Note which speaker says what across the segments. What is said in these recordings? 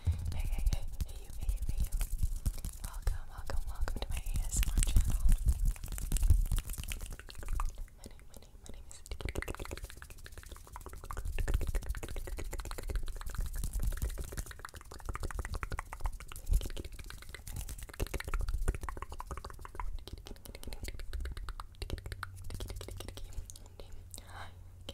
Speaker 1: Hey, hey, hey, hey you, hey you, hey you. Welcome, welcome, welcome to my ASMR channel. My name, my name, my name is... Hi,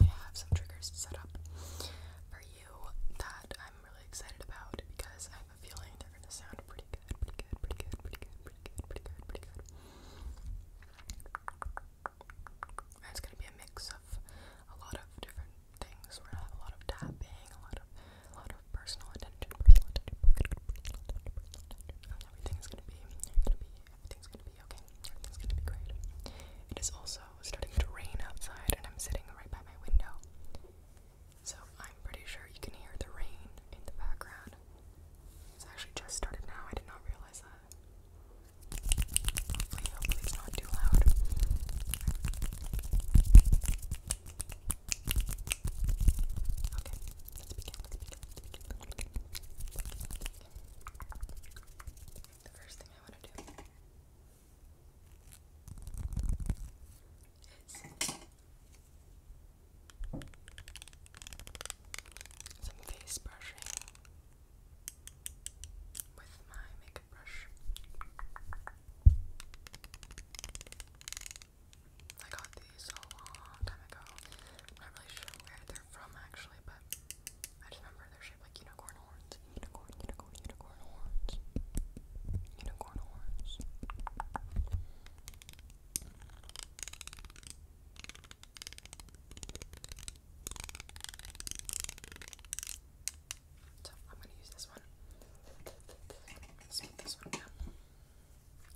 Speaker 1: I have some triggers set up
Speaker 2: for you that I'm really excited about because I have a feeling they're gonna sound pretty good, pretty good, pretty good, pretty good, pretty good, pretty good, pretty good. And it's gonna be a mix of a lot of different things. We're gonna have a lot of
Speaker 3: tapping, a lot of a lot of personal attention, personal attention, personal attention, personal attention, personal attention. And everything is gonna be, gonna be everything's gonna be okay. Everything's gonna be great. It is also starting to rain outside, and I'm sitting right by my window. So I'm pretty sure you can hear the rain in the background. It's actually just started now, I did not realize that. Hopefully, hopefully not too loud. Okay, let's begin, the first thing I want to do is some face brushing with my makeup brush. I got these a long time ago. I'm not really sure where from actually, but I just remember they're shaped like unicorn horns. Unicorn, unicorn, unicorn horns. Unicorn horns. So I'm gonna use this one. Let's put this one down.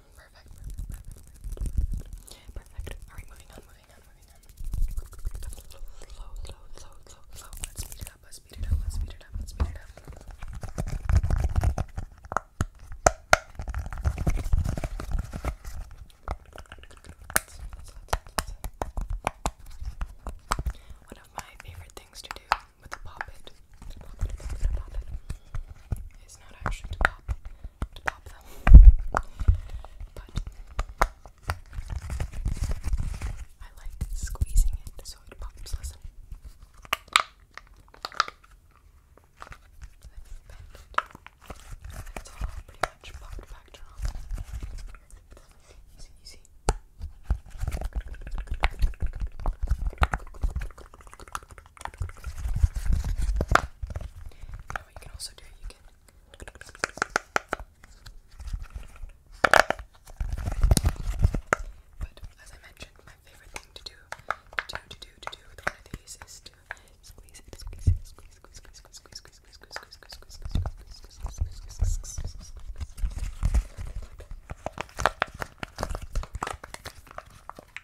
Speaker 4: Perfect, perfect, perfect, perfect. Alright, moving on, moving on, moving on. Slow, slow, slow, slow, slow. Let's speed it up, let's speed it up, let's speed it up, let's speed it up. One of my favorite things to do with a pop it, pop it, pop it, pop it, is not actually to pop pop them. But I like squeezing it so it Listen. Let all pretty much popped back down. You and what you can also do, you can but as I mentioned, my favorite thing to do, to do, to do, to do with one of these is to squeeze it, squeeze it, squeeze, squeeze, squeeze, squeeze, squeeze, squeeze, squeeze, squeeze, squeeze, squeeze, squeeze, squeeze, squeeze, squeeze, squeeze, like that.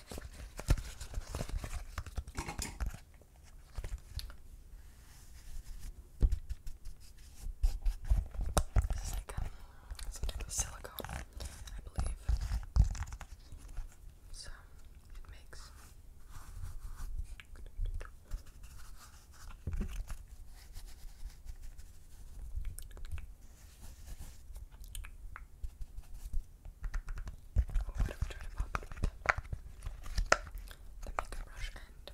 Speaker 4: This is like some type of silicone, I believe. So it makes or whatever try to pop it with the makeup brush end.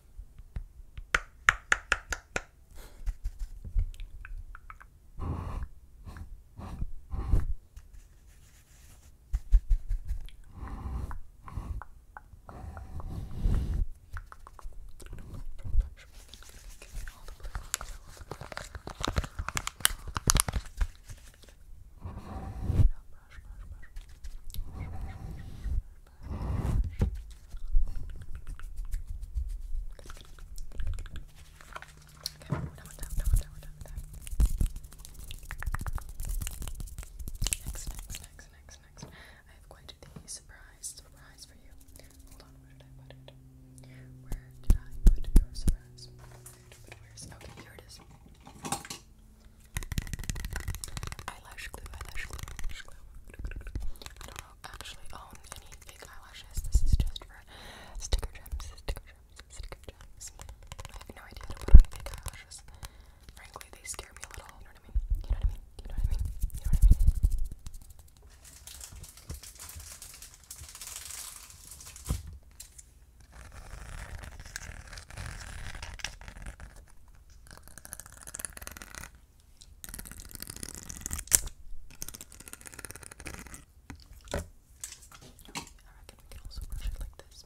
Speaker 4: I don't know, I'm sure all the blue all the blue Next, next, next, next, next. I have quite a surprise, surprise for you. Hold Eyelash glue, eyelash glue, eyelash glue. I don't actually own any fake eyelashes. This is just for sticker gems, sticker gems, sticker gems. no idea how to eyelashes. Frankly, they scare me a little. You know what I mean? You know what I mean? You know what I mean? You know what I mean? I reckon we
Speaker 5: can also brush it like this.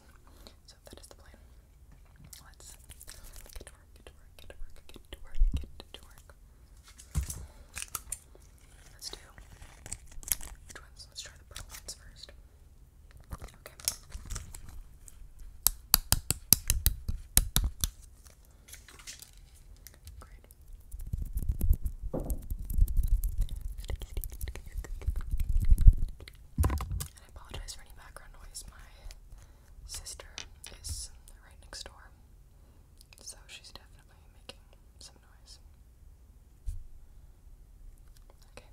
Speaker 5: yes. So that is the plan. Let's get to work, get to work, get to work, get to work, get to work. Let's do which ones? Let's try the pearl ones first. Okay. Great. Sticky, sticky, sticky, I apologize for any background noise. My sister is right next door, so she's definitely making some noise. Okay.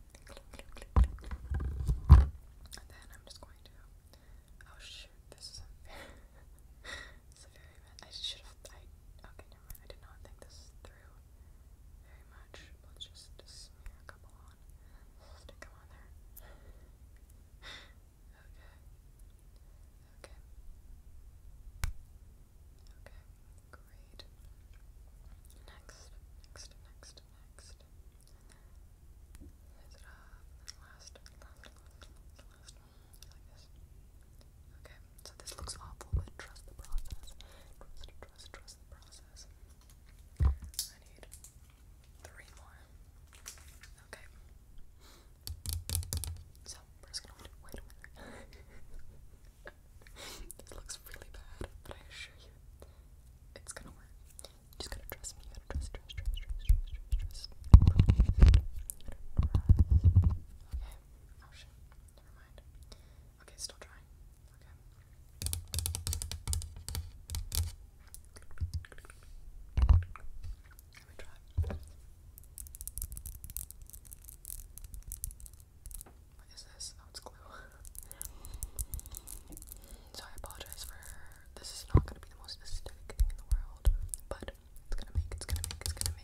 Speaker 5: And then I'm just going to. Oh shoot! This is a very. I should have. I okay. Never mind, I did not think this through very much. Let's just smear a couple on. Stick them on there. okay. Okay. Okay, great. Next, next, next, next. Is it up? last, last, last, last. Like this. Okay, so this looks awful, but trust the process. Trust, trust, trust the process. I need three more. Okay. So, we're just gonna wait a minute. this looks really bad, but I assure you, it's gonna work. just gotta trust me. trust, trust, trust, trust, trust, trust, trust. Okay. Oh Never mind. Okay, still trying. Let me try. What is this? Oh, it's glue. so I apologize for this is not gonna be the most aesthetic thing in the world, but it's gonna make, it's gonna make, it's gonna make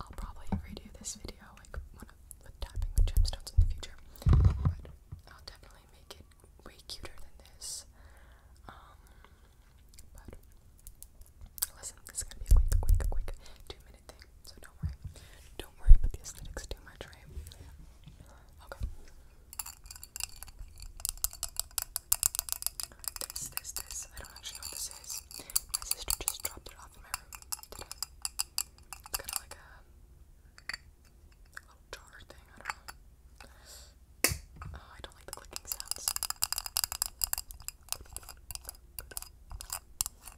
Speaker 5: I'll probably redo this video like one of the tapping gemstones in the future, but I'll definitely make it way cuter than this. Um, but listen, this is gonna be a quick, quick, quick two minute so don't worry. Don't worry about the aesthetics too much, right? Okay. This, this, this. I don't actually know what this is. My sister just dropped it off kind of like a little jar thing. I don't know. Oh, I don't like the clicking sounds.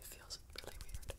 Speaker 5: It feels really weird.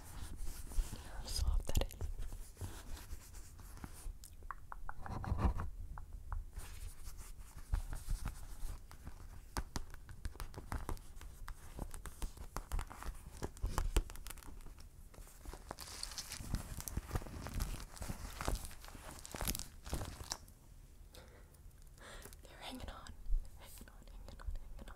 Speaker 5: how soft that is. They're hanging on, hanging on, hanging on, hanging on.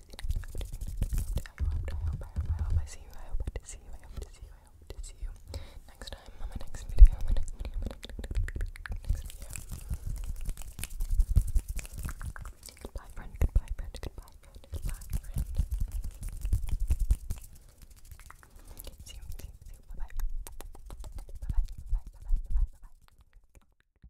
Speaker 5: hope, I hope, I hope I see you, I hope to see you, I hope to see you, I hope to see you next time on my next video, my next video, my next video. Goodbye friend, goodbye friend, goodbye friend, goodbye friend. See you, see you, see you, bye bye. Bye bye, bye bye, bye bye, bye bye.